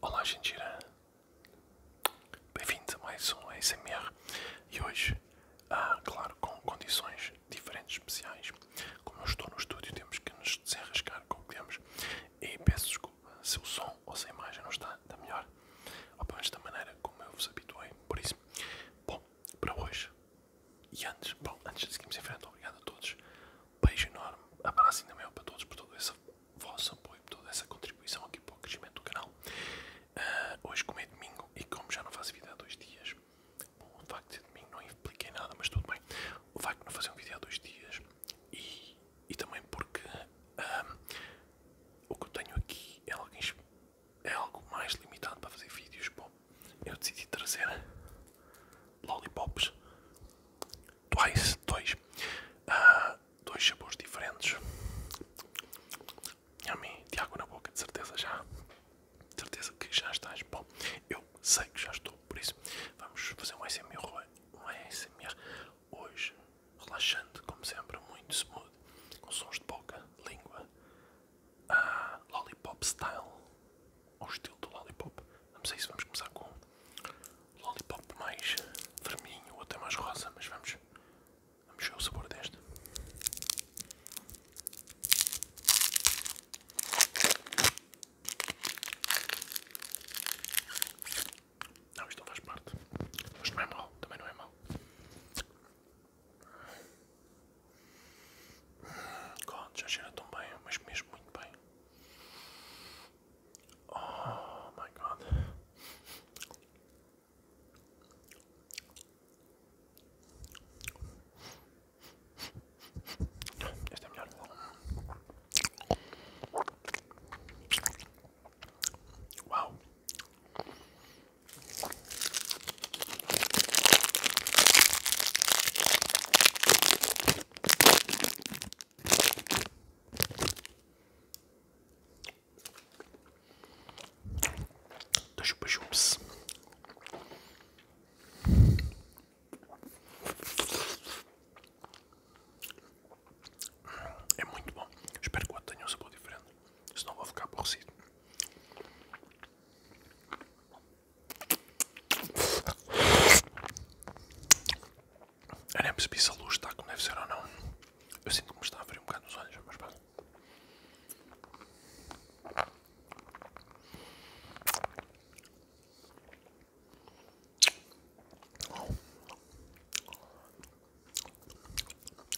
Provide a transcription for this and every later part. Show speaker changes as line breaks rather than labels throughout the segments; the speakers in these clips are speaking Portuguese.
Olá gente. bem-vindo a mais um ASMR e hoje, ah, claro, com condições diferentes especiais, como eu estou no estúdio temos que nos desenrascar com o que temos e peço desculpa se o som ou se a imagem não está da melhor, ou pelo menos da maneira como eu vos habituei, por isso, bom, para hoje e antes, bom, antes de seguirmos em frente, obrigado a todos. Beijo enorme, abraço ainda maior para todos por todo esse vosso apoio, por toda essa contribuição aqui para o crescimento do canal. Ah, hoje, como é domingo e como já não faço vídeo há dois dias, bom, o facto de ser domingo não impliquei nada, mas tudo bem. O facto de não fazer um vídeo há dois dias e, e também porque ah, o que eu tenho aqui é algo, é algo mais limitado para fazer vídeos eu decidi trazer lollipops Twice, dois, ah, dois sabores diferentes. A mim, de água na boca, de certeza já, de certeza que já estás bom. Eu sei que já estou, por isso vamos fazer um ASMR, hoje, relaxante, como sempre, muito smooth, com sons de boca, língua, a ah, Lollipop Style, ou estilo do Lollipop. Vamos a isso, vamos começar com Lollipop mais vermelho ou até mais rosa, mas vamos, vamos ver o sabor deste. Não, isto não faz parte. Isto não é mau, também não é mau. God, já cheira tão bem, mas mesmo muito bem. Oh my god. Este é melhor. Uau! do Chupa Chups. É muito bom. Espero que o outro tenha um sabor diferente. Senão vou ficar aborrecido. Eu nem percebi se a luz está como deve ser ou não. Eu sinto que me está a abrir um bocado os olhos, mas pá.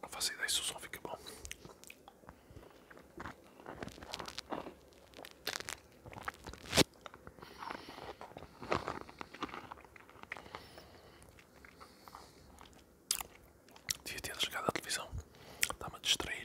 Pra fazer daí, o som fica bom. Devia ter desligado a televisão. Está-me a distrair.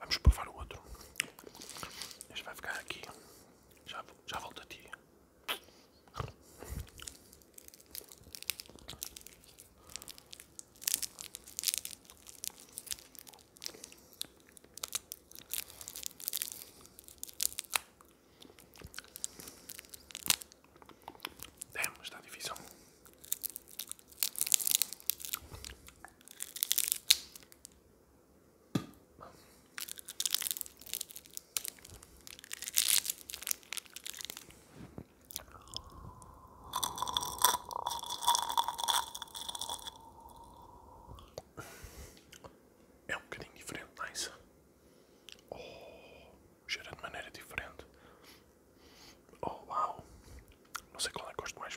Vamos provar o outro. Este vai ficar aqui. Já, já volto a é, mas está difícil é um bocadinho diferente, não é isso? Oh, cheira de maneira diferente. Oh, wow! Não sei qual é que gosto mais.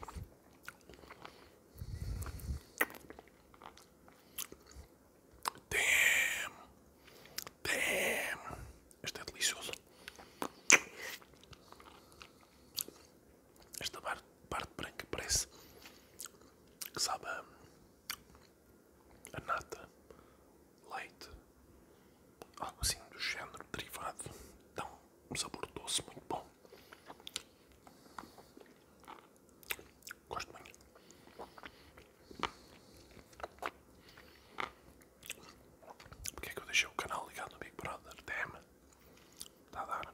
Damn! Damn! Este é delicioso. Esta parte branca parece que sabe a, a nata, leite, algo assim do género derivado. então um sabor doce muito bom. Gosto muito. Porque é que eu deixei o canal ligado no Big Brother? Damn! Está a dar.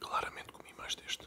Claramente comi mais deste.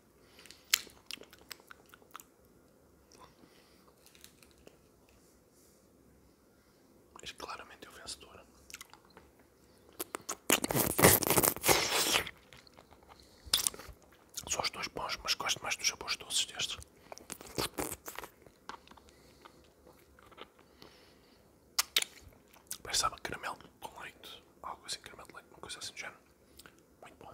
Mas claramente é o vencedor. Só os dois bons, mas gosto mais dos sabores doces destes. Parece sabe caramelo com leite, algo assim, caramelo de leite, uma coisa assim do género. Muito bom.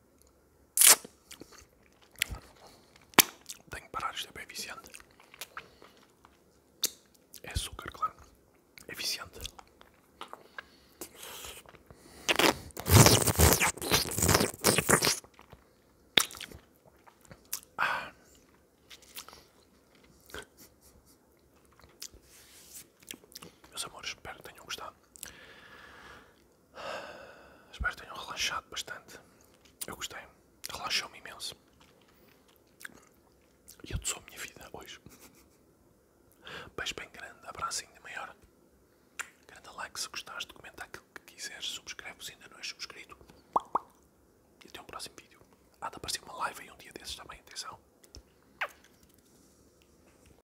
Tenho que parar, isto é bem eficiente. É açúcar, claro. eficiente. É ah. Meus amores, espero que tenham gostado. Espero que tenham relaxado bastante. Eu gostei. Relaxou-me imenso. E eu te sou a minha vida hoje. Beijo bem grande, abraço ainda maior. Grande like se gostaste, comenta aquilo que quiseres, subscreve se ainda não és subscrito. E até um próximo vídeo. Há de aparecer uma live aí um dia desses, também Atenção.